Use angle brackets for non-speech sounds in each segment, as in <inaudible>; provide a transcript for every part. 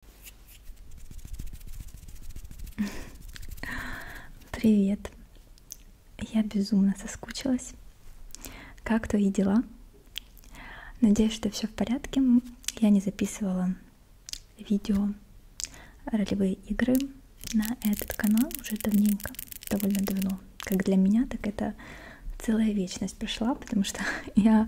<laughs> Привет! Я безумно соскучилась. Как твои дела? Надеюсь, что все в порядке. Я не записывала видео ролевые игры на этот канал уже давненько, довольно давно. Как для меня, так это целая вечность прошла, потому что <laughs> я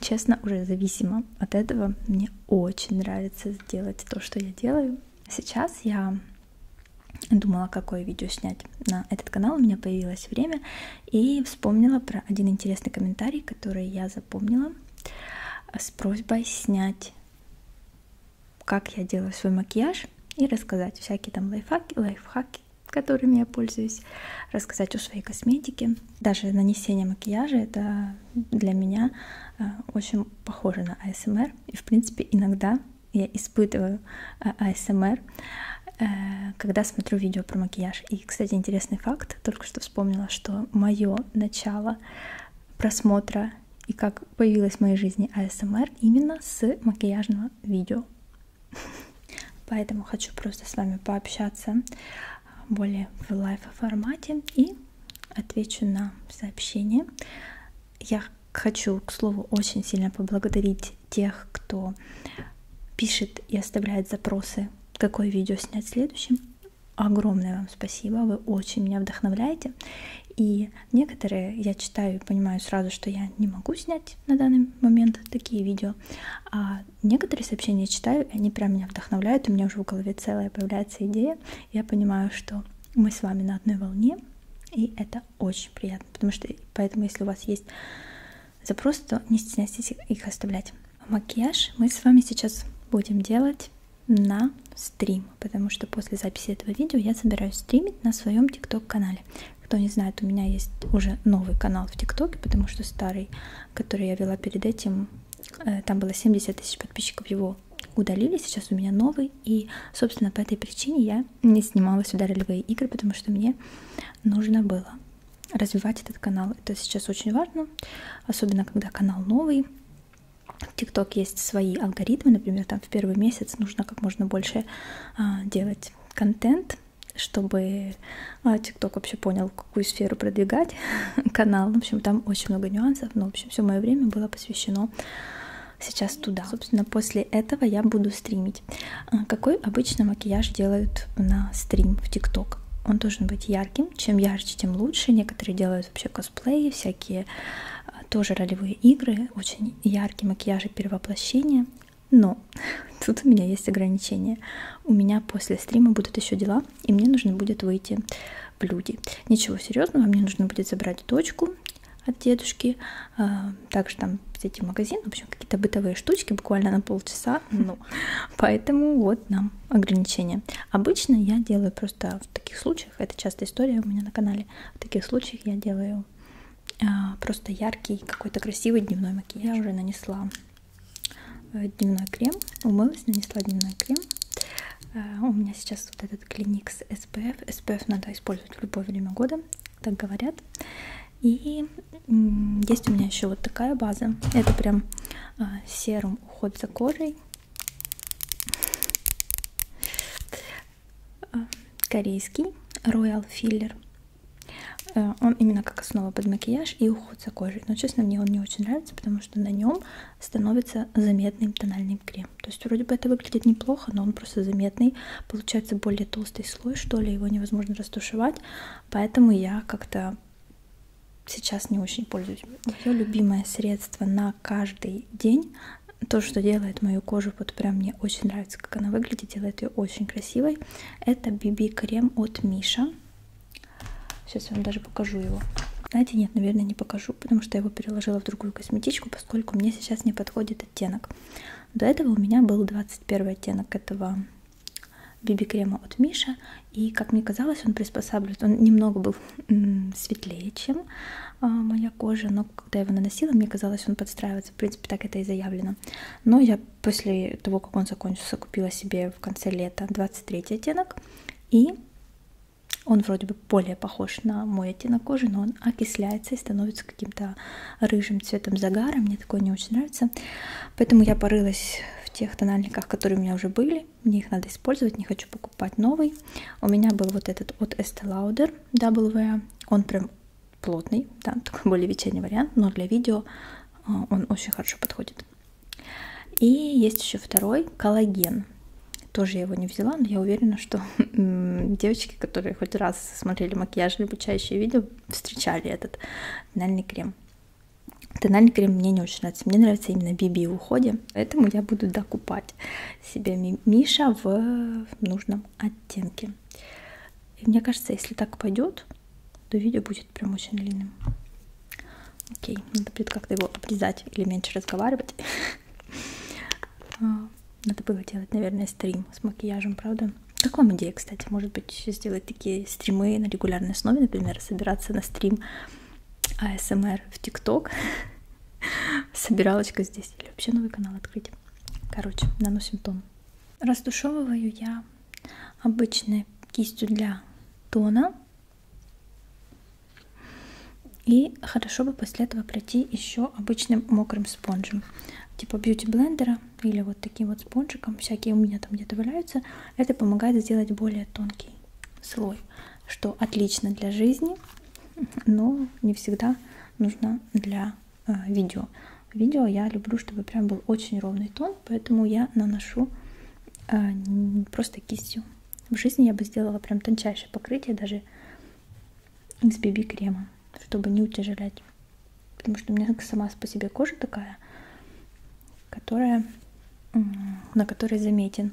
честно, уже зависимо от этого. Мне очень нравится сделать то, что я делаю. Сейчас я думала, какое видео снять на этот канал. У меня появилось время и вспомнила про один интересный комментарий, который я запомнила э, с просьбой снять, как я делаю свой макияж и рассказать всякие там лайфхаки, лайфхаки которыми я пользуюсь рассказать о своей косметике. Даже нанесение макияжа это для меня э, очень похоже на АСМР. И в принципе иногда я испытываю э, АСМР, э, когда смотрю видео про макияж. И, кстати, интересный факт, только что вспомнила, что мое начало просмотра и как появилась в моей жизни АСМР именно с макияжного видео. <laughs> Поэтому хочу просто с вами пообщаться более в лайв формате и отвечу на сообщение. Я хочу, к слову, очень сильно поблагодарить тех, кто пишет и оставляет запросы, какое видео снять следующим. Огромное вам спасибо, вы очень меня вдохновляете. И некоторые я читаю и понимаю сразу, что я не могу снять на данный момент такие видео, а Некоторые сообщения я читаю, и они прям меня вдохновляют, у меня уже в голове целая появляется идея. Я понимаю, что мы с вами на одной волне, и это очень приятно, потому что поэтому, если у вас есть запросы, то не стесняйтесь их оставлять. Макияж мы с вами сейчас будем делать на стрим, потому что после записи этого видео я собираюсь стримить на своем ТикТок канале. Кто не знает, у меня есть уже новый канал в ТикТоке, потому что старый который я вела перед этим, э, там было 70 тысяч подписчиков, его удалили, сейчас у меня новый, и, собственно, по этой причине я не снимала сюда ролевые игры, потому что мне нужно было развивать этот канал. Это сейчас очень важно, особенно когда канал новый. В ТикТок есть свои алгоритмы, например, там в первый месяц нужно как можно больше а, делать контент, чтобы а, ТикТок вообще понял, какую сферу продвигать <laughs> канал. В общем, там очень много нюансов, но, в общем, все мое время было посвящено сейчас туда. Собственно, после этого я буду стримить. А какой обычно макияж делают на стрим в ТикТок? Он должен быть ярким. Чем ярче, тем лучше. Некоторые делают вообще косплеи, всякие а, тоже ролевые игры. Очень яркий макияж и перевоплощение. Но <laughs> тут у меня есть ограничения у меня после стрима будут еще дела, и мне нужно будет выйти в люди. Ничего серьезного, мне нужно будет забрать дочку от дедушки, а, также там зайти в магазин, в общем, какие-то бытовые штучки, буквально на полчаса, ну, поэтому вот нам ограничения. Обычно я делаю просто в таких случаях, это частая история у меня на канале, в таких случаях я делаю а, просто яркий, какой-то красивый дневной макияж. Я уже нанесла Э, дневной крем. Умылась, нанесла дневной крем. Э, у меня сейчас вот этот клиник с SPF. SPF надо использовать в любое время года, так говорят. И есть у меня еще вот такая база. Это прям э, серум уход за кожей. Корейский Royal Filler. Э, он именно как основа под макияж и уход за кожей. Но, честно, мне он не очень нравится, потому что на нем становится заметным тональный крем. То есть вроде бы это выглядит неплохо, но он просто заметный. Получается более толстый слой, что ли, его невозможно растушевать. Поэтому я как-то сейчас не очень пользуюсь. Мое любимое средство на каждый день то, что делает мою кожу, вот прям мне очень нравится, как она выглядит, делает ее очень красивой. Это BB-крем от Миша. Сейчас я вам даже покажу его. Знаете, нет, наверное, не покажу, потому что я его переложила в другую косметичку, поскольку мне сейчас не подходит оттенок. До этого у меня был 21 оттенок этого биби-крема от Миша. И, как мне казалось, он приспосабливает. Он немного был светлее, чем э, моя кожа, но когда я его наносила, мне казалось, он подстраивается. В принципе, так это и заявлено. Но я после того, как он закончился, купила себе в конце лета 23 оттенок. И он вроде бы более похож на мой оттенок кожи, но он окисляется и становится каким-то рыжим цветом загара. Мне такое не очень нравится. Поэтому я порылась в тех тональниках, которые у меня уже были. Мне их надо использовать, не хочу покупать новый. У меня был вот этот от Estee Lauder WA. Он прям плотный, да, такой более вечерний вариант, но для видео а, он очень хорошо подходит. И есть еще второй коллаген. Тоже я его не взяла, но я уверена, что девочки, которые хоть раз смотрели макияж или обучающие видео, встречали этот тональный крем. Тональный крем мне не очень нравится. Мне нравится именно BB в уходе, поэтому я буду докупать себе Миша в нужном оттенке. И мне кажется, если так пойдет, то видео будет прям очень длинным. Окей, надо будет как-то его обрезать или меньше разговаривать. <laughs> А, надо было делать, наверное, стрим с макияжем, правда? Как вам идея, кстати? Может быть, сделать такие стримы на регулярной основе, например, собираться на стрим АСМР в ТикТок. <laughs> Собиралочка здесь. Или вообще новый канал открыть. Короче, наносим тон. Растушевываю я обычной кистью для тона. И хорошо бы после этого пройти еще обычным мокрым спонжем. Типа бьюти-блендера или вот таким вот спонжиком. Всякие у меня там где-то валяются. Это помогает сделать более тонкий слой. Что отлично для жизни, но не всегда нужно для э, видео. Видео я люблю, чтобы прям был очень ровный тон тон, поэтому я наношу э, просто кистью. В жизни я бы сделала прям тончайшее покрытие даже из BB крема, чтобы не утяжелять. Потому что у меня сама по себе кожа такая, которая, на которой заметен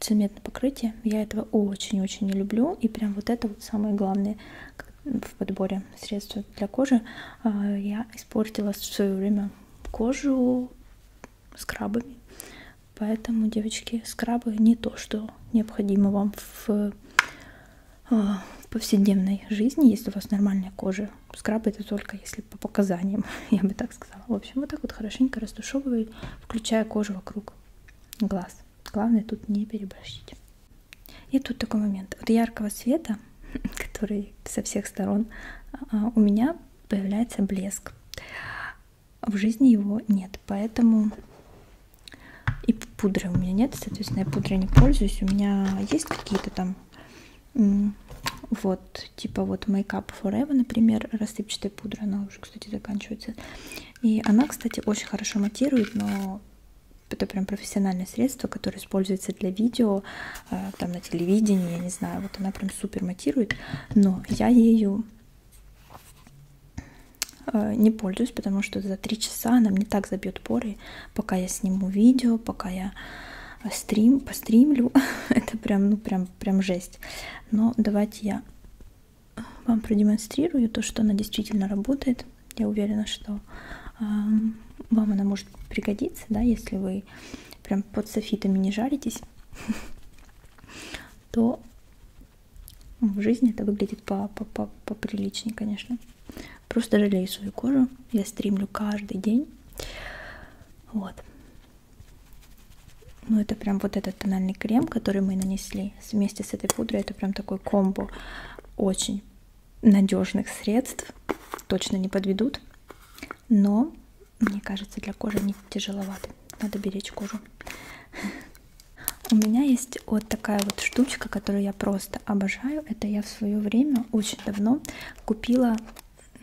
цементное покрытие. Я этого очень-очень не люблю. И прям вот это вот самое главное в подборе средств для кожи. А, я испортила в свое время кожу скрабами. Поэтому, девочки, скрабы не то, что необходимо вам в э, повседневной жизни, если у вас нормальная кожа. Скраб это только если по показаниям, <laughs> я бы так сказала. В общем, вот так вот хорошенько растушевываю, включая кожу вокруг глаз. Главное тут не переборщить. И тут такой момент. От яркого света <laughs> который со всех сторон а, у меня появляется блеск. В жизни его нет, поэтому и пудры у меня нет, соответственно, я пудрой не пользуюсь. У меня есть какие-то там вот, типа вот Make Up Forever, например, рассыпчатая пудра, она уже, кстати, заканчивается. И она, кстати, очень хорошо матирует, но это прям профессиональное средство, которое используется для видео, Э, там на телевидении, я не знаю, вот она прям супер матирует, но я ею э, не пользуюсь, потому что за 3 часа она мне так забьет поры, пока я сниму видео, пока я стрим, постримлю, <laughs> это прям, ну прям, прям жесть. Но давайте я вам продемонстрирую то, что она действительно работает. Я уверена, что э, вам она может пригодится, да, если вы прям под софитами не жаритесь, <laughs> то в жизни это выглядит по поприличнее, конечно. Просто жалею свою кожу. Я стримлю каждый день. Вот. Ну, это прям вот этот тональный крем, который мы нанесли вместе с этой пудрой. Это прям такой комбо. Очень надежных средств, точно не подведут, но, мне кажется, для кожи они тяжеловаты, надо беречь кожу. У меня есть вот такая вот штучка, которую я просто обожаю. Это я в свое время, очень давно, купила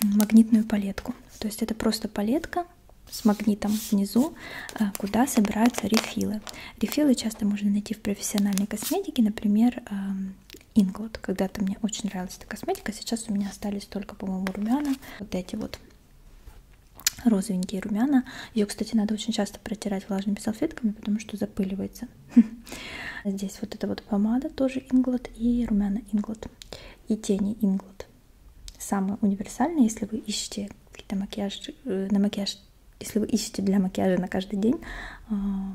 магнитную палетку. То есть это просто палетка с магнитом внизу, э, куда собираются рефилы. Рефилы часто можно найти в профессиональной косметике, например, эм, Inglot. Когда-то мне очень нравилась эта косметика. Сейчас у меня остались только, по-моему, румяна. Вот эти вот розовенькие румяна. Ее, кстати, надо очень часто протирать влажными салфетками, потому что запыливается. <laughs> Здесь вот эта вот помада тоже Inglot и румяна Inglot. И тени Inglot. Самые универсальные, если вы ищете какие-то макияж, э, на макияж, если вы ищете для макияжа на каждый день. А,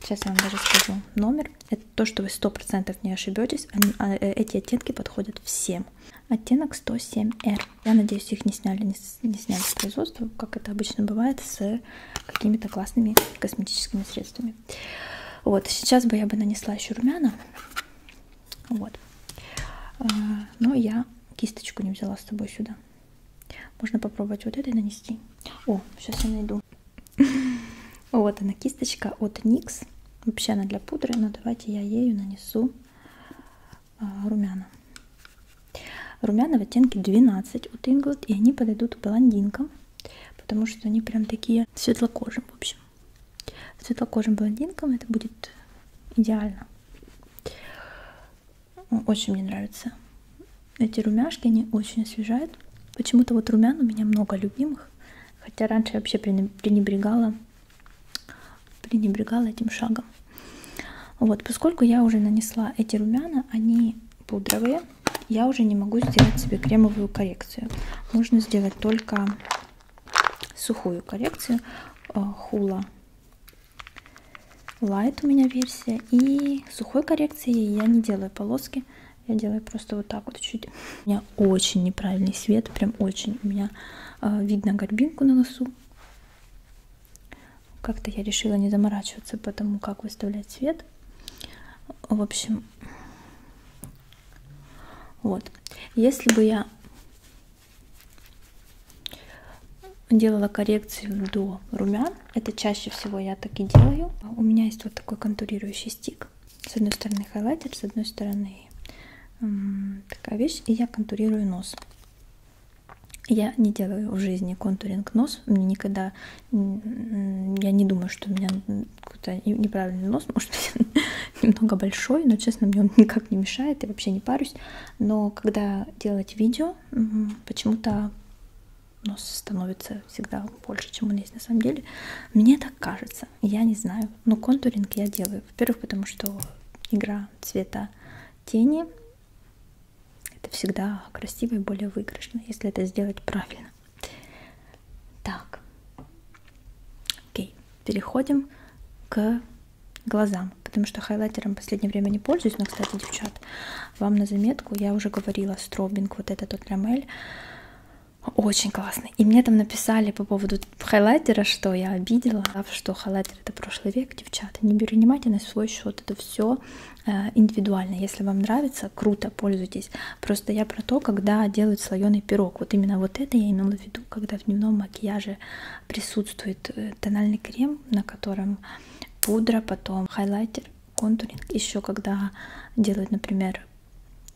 сейчас я вам даже скажу номер. Это то, что вы 100% не ошибетесь, они, а, э, эти оттенки подходят всем. Оттенок 107R. Я надеюсь, их не сняли, не, не сняли с производства, как это обычно бывает, с какими-то классными косметическими средствами. Вот, сейчас бы я бы нанесла еще румяна. Вот. А, но я кисточку не взяла с собой сюда. Можно попробовать вот этой нанести. О, сейчас я найду. <laughs> Вот она кисточка от Никс. Вообще она для пудры, но давайте я ею нанесу а, румяна. Румяна в оттенке 12 от Inglot, и они подойдут блондинкам, потому что они прям такие светлокожим, в общем. Светлокожим блондинкам это будет идеально. Очень мне нравится эти румяшки, они очень освежают. Почему-то вот румян у меня много любимых. Хотя раньше я вообще пренебрегала, пренебрегала этим шагом. Вот, поскольку я уже нанесла эти румяна, они пудровые, я уже не могу сделать себе кремовую коррекцию. Можно сделать только сухую коррекцию. Э, хула Light у меня версия. И сухой коррекции я не делаю полоски. Я делаю просто вот так вот чуть. У меня очень неправильный свет, прям очень. У меня э, видно горбинку на носу. Как-то я решила не заморачиваться по тому, как выставлять свет. В общем, вот. Если бы я делала коррекцию до румян, это чаще всего я так и делаю. У меня есть вот такой контурирующий стик. С одной стороны хайлайтер, с одной стороны такая вещь. И я контурирую нос. Я не делаю в жизни контуринг нос. Мне никогда... Я не думаю, что у меня какой-то неправильный нос. Может быть, <laughs> немного большой, но, честно, мне он <laughs> никак не мешает. Я вообще не парюсь. Но когда делать видео, почему-то нос становится всегда больше, чем он есть на самом деле. Мне так кажется, я не знаю. Но ну, контуринг я делаю. Во-первых, потому что игра цвета тени это всегда красиво и более выигрышно, если это сделать правильно. Так, окей, переходим к глазам, потому что хайлайтером в последнее время не пользуюсь, но, кстати, девчат, вам на заметку, я уже говорила, стробинг, вот этот вот рамель, очень классно. И мне там написали по поводу хайлайтера, что я обидела, что хайлайтер это прошлый век, девчата, не перенимайте на свой счет, это все э, индивидуально. Если вам нравится, круто, пользуйтесь. Просто я про то, когда делают слоеный пирог. Вот именно вот это я имела в виду, когда в дневном макияже присутствует э, тональный крем, на котором пудра, потом хайлайтер, контуринг еще когда делают, например,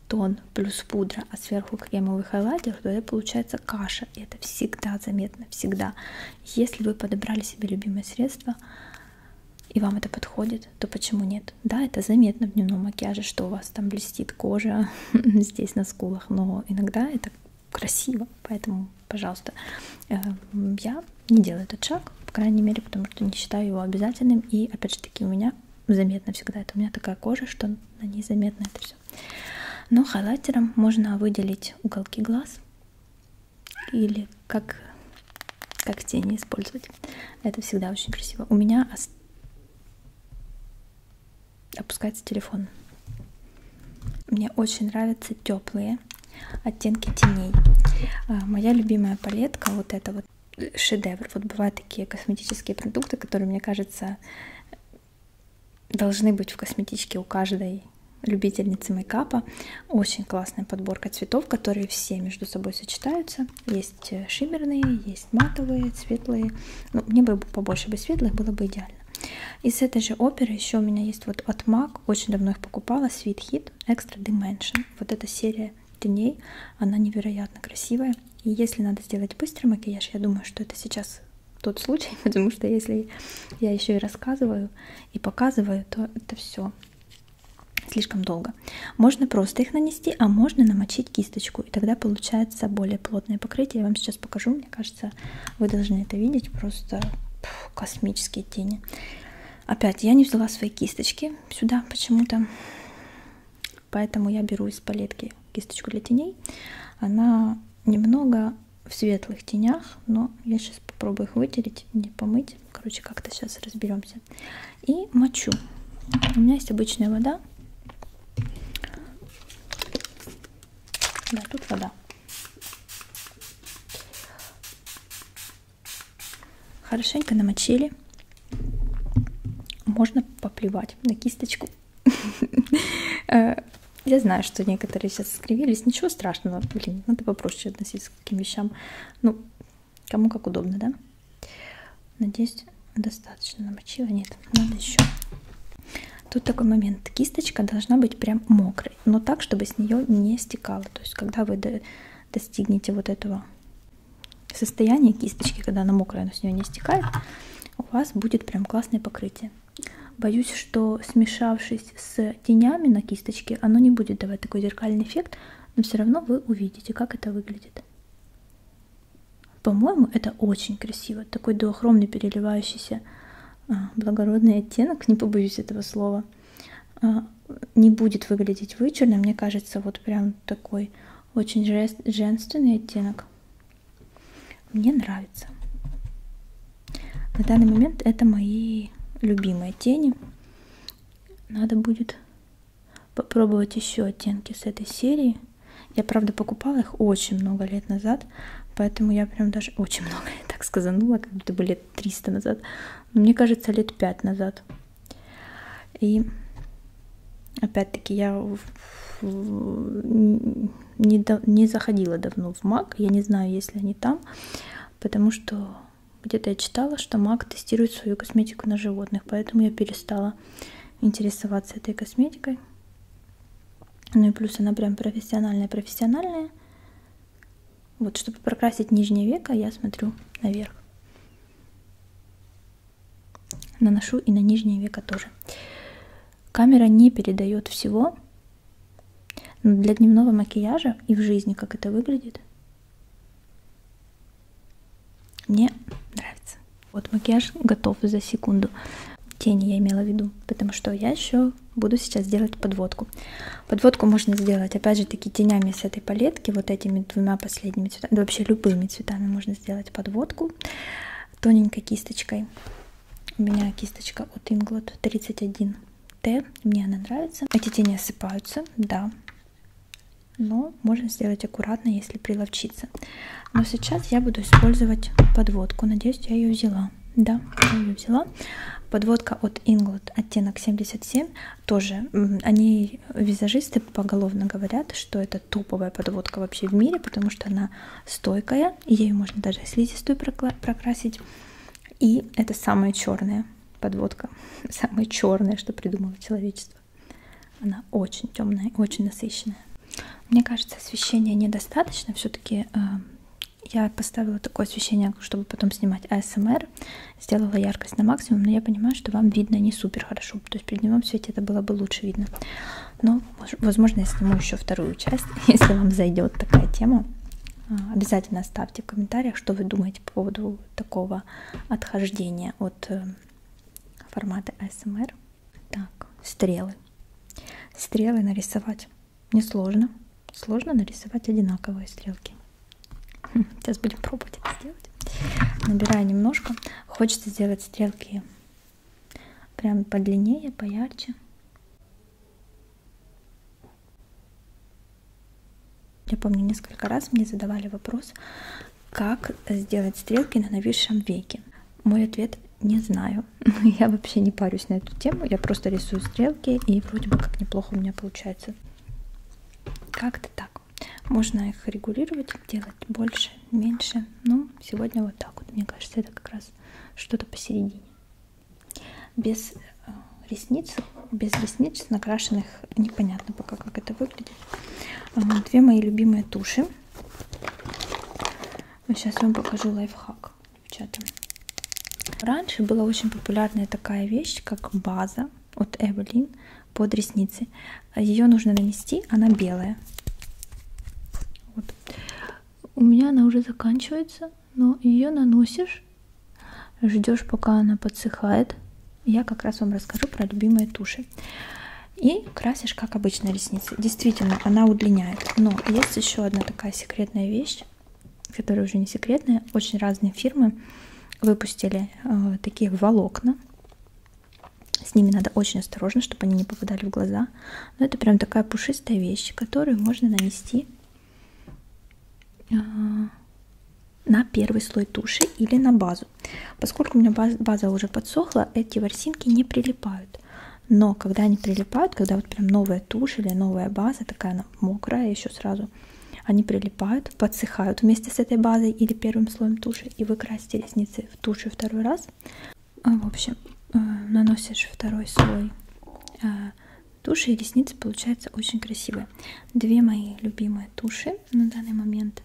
тон плюс пудра, а сверху кремовый хайлайтер, то это получается каша. И это всегда заметно, всегда. Если вы подобрали себе любимое средство и вам это подходит, то почему нет? Да, это заметно в дневном макияже, что у вас там блестит кожа <laughs> здесь на скулах, но иногда это красиво, поэтому, пожалуйста, э, я не делаю этот шаг, по крайней мере, потому что не считаю его обязательным. И опять же таки у меня заметно всегда это. У меня такая кожа, что на ней заметно это все. Но хайлайтером можно выделить уголки глаз или как, как тени использовать. Это всегда очень красиво. У меня ост... опускается телефон. Мне очень нравятся теплые оттенки теней. А, моя любимая палетка вот эта вот шедевр. Вот бывают такие косметические продукты, которые, мне кажется, должны быть в косметичке у каждой любительницы мейкапа. Очень классная подборка цветов, которые все между собой сочетаются. Есть э, шиммерные, есть матовые, светлые. Ну, мне бы побольше бы светлых, было бы идеально. Из этой же оперы еще у меня есть вот от MAC, очень давно их покупала, Sweet Hit Extra Dimension. Вот эта серия теней. Она невероятно красивая. И если надо сделать быстрый макияж, я думаю, что это сейчас тот случай, <laughs> потому что если я еще и рассказываю и показываю, то это все слишком долго. Можно просто их нанести, а можно намочить кисточку, и тогда получается более плотное покрытие. Я вам сейчас покажу, мне кажется, вы должны это видеть, просто пфф, космические тени. Опять я не взяла свои кисточки сюда почему-то. Поэтому я беру из палетки кисточку для теней. Она немного в светлых тенях, но я сейчас попробую их вытереть, не помыть. Короче, как-то сейчас разберемся. И мочу. У меня есть обычная вода. Да, тут вода. Хорошенько намочили. Можно поплевать на кисточку. <laughs> Э, я знаю, что некоторые сейчас скривились. Ничего страшного. Блин, надо попроще относиться к таким вещам. Ну, кому как удобно, да? Надеюсь, достаточно намочила. Нет, надо еще. Тут такой момент. Кисточка должна быть прям мокрой, но так, чтобы с нее не стекало. То есть, когда вы достигнете вот этого состояния кисточки, когда она мокрая, но с нее не стекает, у вас будет прям классное покрытие. Боюсь, что смешавшись с тенями на кисточке, оно не будет давать такой зеркальный эффект, но все равно вы увидите, как это выглядит. По-моему, это очень красиво. Такой дуохромный переливающийся а, благородный оттенок, не побоюсь этого слова. А, не будет выглядеть вычурно. Мне кажется, вот прям такой очень женственный оттенок. Мне нравится. На данный момент это мои любимые тени. Надо будет попробовать еще оттенки с этой серии. Я, правда, покупала их очень много лет назад, поэтому я прям даже очень много, я так сказанула, как будто бы лет 300 назад. Но мне кажется, лет 5 назад. И опять-таки я не, до, не заходила давно в Mac, я не знаю, если они там, потому что где-то я читала, что Mac тестирует свою косметику на животных, поэтому я перестала интересоваться этой косметикой. Ну и плюс она прям профессиональная-профессиональная. Вот, чтобы прокрасить нижнее веко, я смотрю наверх. Наношу и на нижнее веко тоже. Камера не передает всего, но для дневного макияжа и в жизни, как это выглядит, мне нравится. Вот макияж готов за секунду. Тени я имела в виду, потому что я еще буду сейчас делать подводку. Подводку можно сделать, опять же, таки тенями с этой палетки, вот этими двумя последними цветами, да вообще любыми цветами можно сделать подводку тоненькой кисточкой. У меня кисточка от Inglot 31T, мне она нравится. Эти тени осыпаются, да, но можно сделать аккуратно, если приловчиться. Но сейчас я буду использовать подводку, надеюсь, я ее взяла. Да, я ее взяла. Подводка от Inglot, оттенок 77 тоже они э, визажисты поголовно говорят, что это топовая подводка вообще в мире, потому что она стойкая, и ею можно даже слизистую прокрасить. И это самая черная подводка, <laughs> самая черная, что придумало человечество. Она очень темная, очень насыщенная. Мне кажется, освещения недостаточно. Все-таки э, я поставила такое освещение, чтобы потом снимать АСМР сделала яркость на максимум, но я понимаю, что вам видно не супер хорошо, то есть при дневном свете это было бы лучше видно. Но, возможно, я сниму еще вторую часть, <laughs> если вам зайдет такая тема. А, обязательно оставьте в комментариях, что вы думаете по поводу такого отхождения от э, формата ASMR. Так, стрелы. Стрелы нарисовать несложно. Сложно нарисовать одинаковые стрелки. <laughs> Сейчас будем пробовать это сделать. Набираю немножко. Хочется сделать стрелки прям подлиннее, поярче. Я помню, несколько раз мне задавали вопрос, как сделать стрелки на новейшем веке. Мой ответ – не знаю. <laughs> Я вообще не парюсь на эту тему, я просто рисую стрелки, и вроде бы как неплохо у меня получается. Как-то так. Можно их регулировать, делать больше, меньше. Ну, сегодня вот так вот. Мне кажется, это как раз что-то посередине. Без э, ресниц, без ресниц накрашенных, непонятно пока, как это выглядит. А, две мои любимые туши. Сейчас я вам покажу лайфхак, ребята. Раньше была очень популярная такая вещь, как база от Эвелин под ресницы. Ее нужно нанести, она белая. Вот. У меня она уже заканчивается, но ее наносишь, ждешь, пока она подсыхает. Я как раз вам расскажу про любимые туши. И красишь, как обычно, ресницы. Действительно, она удлиняет. Но есть еще одна такая секретная вещь, которая уже не секретная. Очень разные фирмы выпустили э, такие волокна. С ними надо очень осторожно, чтобы они не попадали в глаза. Но это прям такая пушистая вещь, которую можно нанести э, на первый слой туши или на базу. Поскольку у меня баз, база уже подсохла, эти ворсинки не прилипают. Но когда они прилипают, когда вот прям новая тушь или новая база, такая она мокрая еще сразу, они прилипают, подсыхают вместе с этой базой или первым слоем туши, и вы красите ресницы в туши второй раз. А, в общем, э, наносишь второй слой э, туши, и ресницы получаются очень красивые. Две мои любимые туши на данный момент.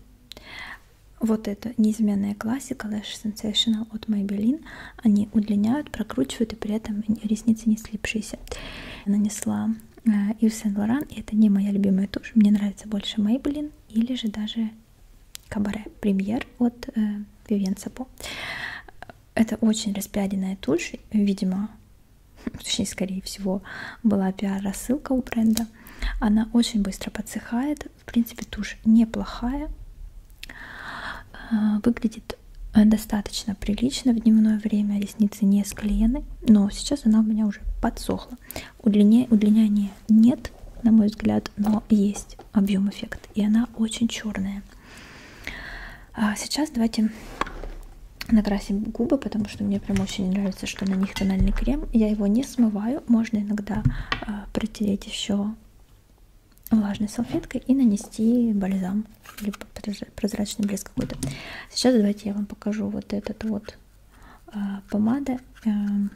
Вот это неизменная классика Lash Sensational от Maybelline. Они удлиняют, прокручивают, и при этом ресницы не слипшиеся. Нанесла Ив э, Сен-Лоран, и это не моя любимая тушь, мне нравится больше Maybelline или же даже Кабаре Премьер от э, Vivienne Сапо. Это очень распиаренная тушь, видимо, <laughs> точнее, скорее всего, была пиар-рассылка у бренда. Она очень быстро подсыхает, в принципе, тушь неплохая, э, выглядит достаточно прилично в дневное время, ресницы не склеены, но сейчас она у меня уже подсохла, этого. Удлиня... Удлиняния нет, на мой взгляд, но есть объем эффект. И она очень черная. А сейчас давайте накрасим губы, потому что мне прям очень нравится, что на них тональный крем. Я его не смываю. Можно иногда э, протереть еще влажной салфеткой и нанести бальзам или прозрачный блеск какой-то. Сейчас давайте я вам покажу вот этот вот Э, помада. Эм,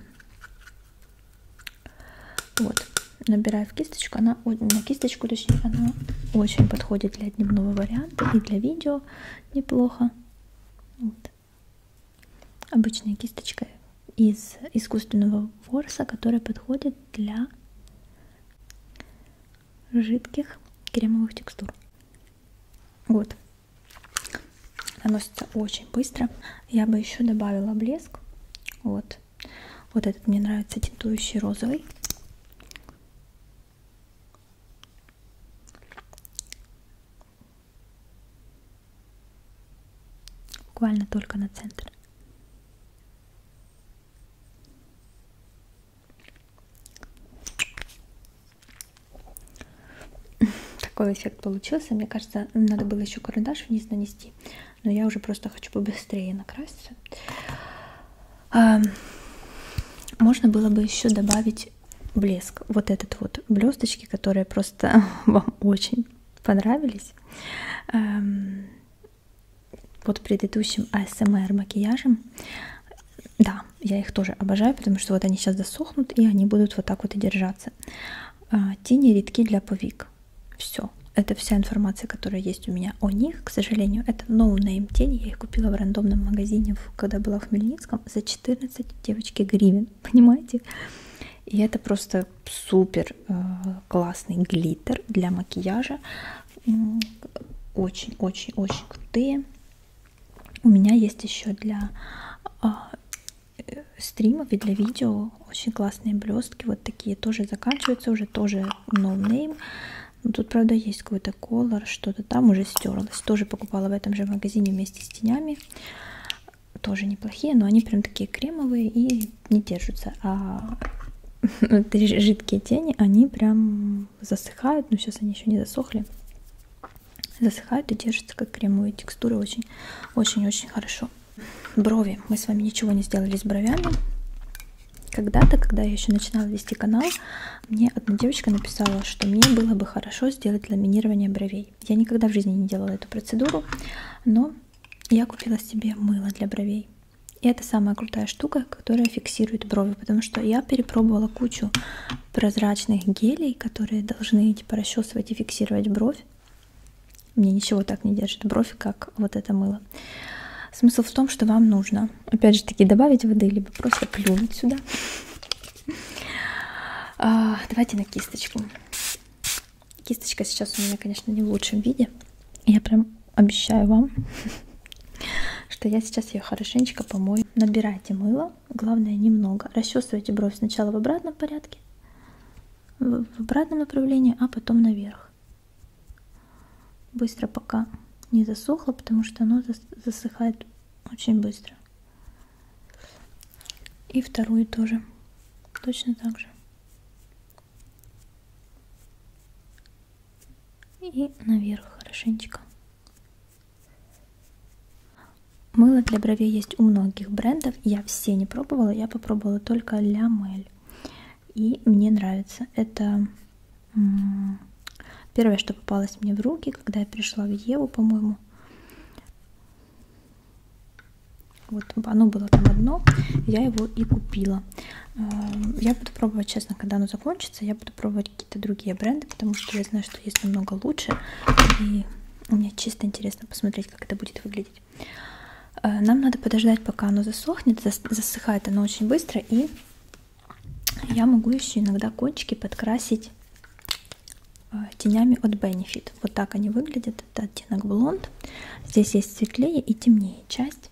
вот, набираю в кисточку, она на кисточку, точнее, она очень подходит для дневного варианта и для видео неплохо. Вот. Обычная кисточка из искусственного ворса, которая подходит для жидких кремовых текстур. Вот, наносится очень быстро. Я бы еще добавила блеск. Вот. Вот этот мне нравится тинтующий розовый. Буквально только на центр. Такой эффект получился. Мне кажется, надо было еще карандаш вниз нанести. Но я уже просто хочу побыстрее накраситься. Можно было бы еще добавить блеск. Вот этот вот блесточки, которые просто <laughs> вам очень понравились. Под предыдущим ASMR а макияжем да, я их тоже обожаю, потому что вот они сейчас засохнут, и они будут вот так вот и держаться. А, тени редки для повик. Все. Это вся информация, которая есть у меня о них. К сожалению, это no-name тени. Я их купила в рандомном магазине, когда была в Хмельницком, за 14 девочки гривен. <laughs> Понимаете? И это просто супер э, классный глиттер для макияжа. Очень-очень-очень крутые. У меня есть еще для а, э, стримов и для видео очень классные блестки. Вот такие тоже заканчиваются, уже тоже no name. Но тут, правда, есть какой-то колор, что-то там уже стерлось. Тоже покупала в этом же магазине вместе с тенями. Тоже неплохие, но они прям такие кремовые и не держатся. А <laughs> жидкие тени, они прям засыхают, но сейчас они еще не засохли засыхают и держатся как кремовые текстуры очень-очень-очень хорошо. Брови. Мы с вами ничего не сделали с бровями. Когда-то, когда я еще начинала вести канал, мне одна девочка написала, что мне было бы хорошо сделать ламинирование бровей. Я никогда в жизни не делала эту процедуру, но я купила себе мыло для бровей. И это самая крутая штука, которая фиксирует брови, потому что я перепробовала кучу прозрачных гелей, которые должны типа расчесывать и фиксировать бровь. Мне ничего так не держит бровь, как вот это мыло. Смысл в том, что вам нужно, опять же таки, добавить воды, либо просто плюнуть сюда. А, давайте на кисточку. Кисточка сейчас у меня, конечно, не в лучшем виде. Я прям обещаю вам, <laughs> что я сейчас ее хорошенечко помою. Набирайте мыло главное немного. Расчесывайте бровь сначала в обратном порядке, в обратном направлении, а потом наверх. Быстро пока не засохло, потому что оно засыхает очень быстро. И вторую тоже. Точно так же. И наверх хорошенечко. Мыло для бровей есть у многих брендов. Я все не пробовала. Я попробовала только Ля Мель. И мне нравится. Это первое, что попалось мне в руки, когда я пришла в Еву, по-моему. Вот оно было там одно, я его и купила. Эм, я буду пробовать, честно, когда оно закончится, я буду пробовать пробовать какие-то другие бренды, потому что я знаю, что есть намного лучше. И мне чисто интересно посмотреть, как это будет выглядеть. Э, нам надо подождать, пока оно засохнет. Засыхает оно очень быстро. И я могу еще иногда кончики подкрасить э, тенями от Benefit. Вот так они выглядят. Это оттенок блонд. Здесь есть светлее и темнее часть.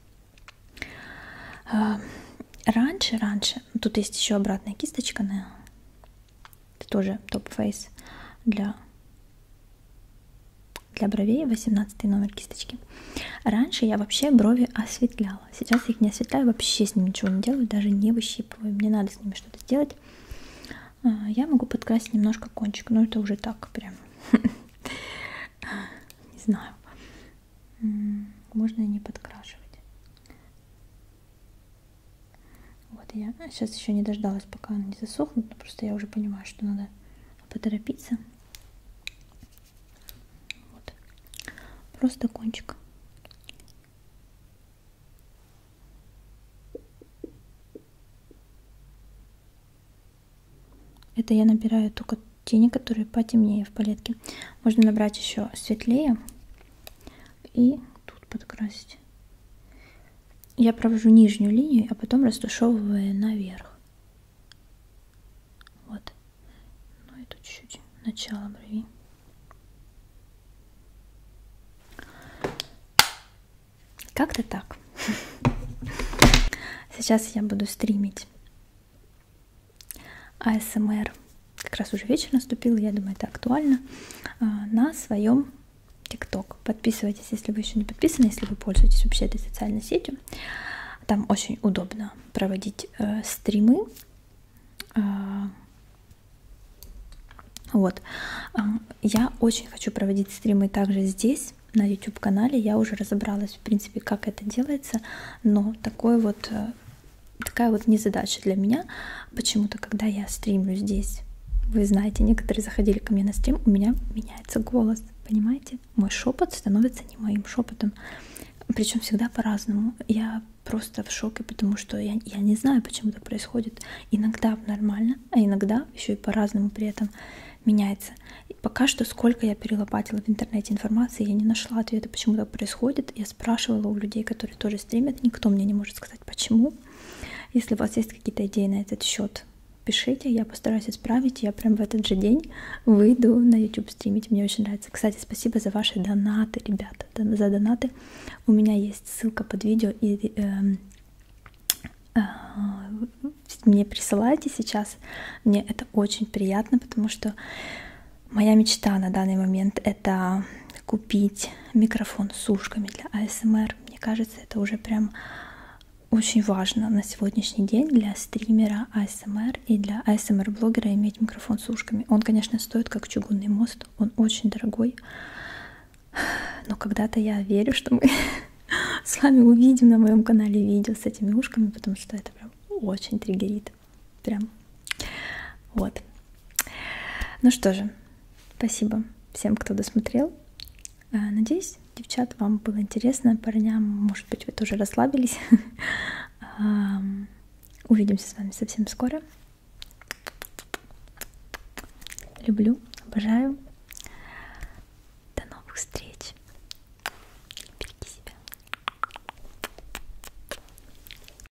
Э, раньше, раньше, тут есть еще обратная кисточка на это тоже топ-фейс для, для бровей, 18 номер кисточки. Раньше я вообще брови осветляла. Сейчас я их не осветляю, вообще с ним ничего не делаю, даже не выщипываю. Мне надо с ними что-то сделать. А, я могу подкрасить немножко кончик, но это уже так прям. <laughs> Не знаю. Можно не подкрашивать. Вот я сейчас еще не дождалась, пока она не засохнет, но просто я уже понимаю, что надо поторопиться. Вот. Просто кончик. Это я набираю только тени, которые потемнее в палетке. Можно набрать еще светлее и тут подкрасить. Я провожу нижнюю линию, а потом растушевываю наверх. Вот. Ну и тут чуть-чуть начало брови. Как-то так. <laughs> Сейчас я буду стримить. АСМР как раз уже вечер наступил, я думаю, это актуально, а, на своем ТикТок. Подписывайтесь, если вы еще не подписаны, если вы пользуетесь вообще этой социальной сетью. Там очень удобно проводить э, стримы. Э, вот. А, я очень хочу проводить стримы также здесь, на YouTube-канале. Я уже разобралась, в принципе, как это делается, но такой вот э, такая вот незадача для меня. Почему-то, когда я стримлю здесь, вы знаете, некоторые заходили ко мне на стрим, у меня меняется голос, понимаете? Мой шепот становится не моим шепотом. Причем всегда по-разному. Я просто в шоке, потому что я, я не знаю, почему это происходит. Иногда нормально, а иногда еще и по-разному при этом меняется. И пока что, сколько я перелопатила в интернете информации, я не нашла ответа, почему так такое происходит. Я спрашивала у людей, которые тоже стримят, никто мне не может сказать почему. Если у вас есть какие-то идеи на этот счет, пишите, я постараюсь исправить. Я прям в этот же день выйду на YouTube стримить. Мне очень нравится. Кстати, спасибо за ваши донаты, ребята, за донаты. У меня есть ссылка под видео и э, э, мне присылайте сейчас. Мне это очень приятно, потому что Моя мечта на данный момент это купить микрофон с ушками для АСМР. Мне кажется, это уже прям очень важно на сегодняшний день для стримера АСМР и для АСМР-блогера иметь микрофон с ушками. Он, конечно, стоит как чугунный мост, он очень дорогой, но когда-то я верю, что мы <laughs> с вами увидим на моем канале видео с этими ушками, потому что это прям очень триггерит вид. Прям. Вот. Ну что же, спасибо всем, кто досмотрел. А, надеюсь, девчат, вам было интересно. Парням, может быть, вы тоже расслабились. <laughs> Увидимся с вами совсем скоро. Люблю, обожаю. До новых встреч. Береги себя.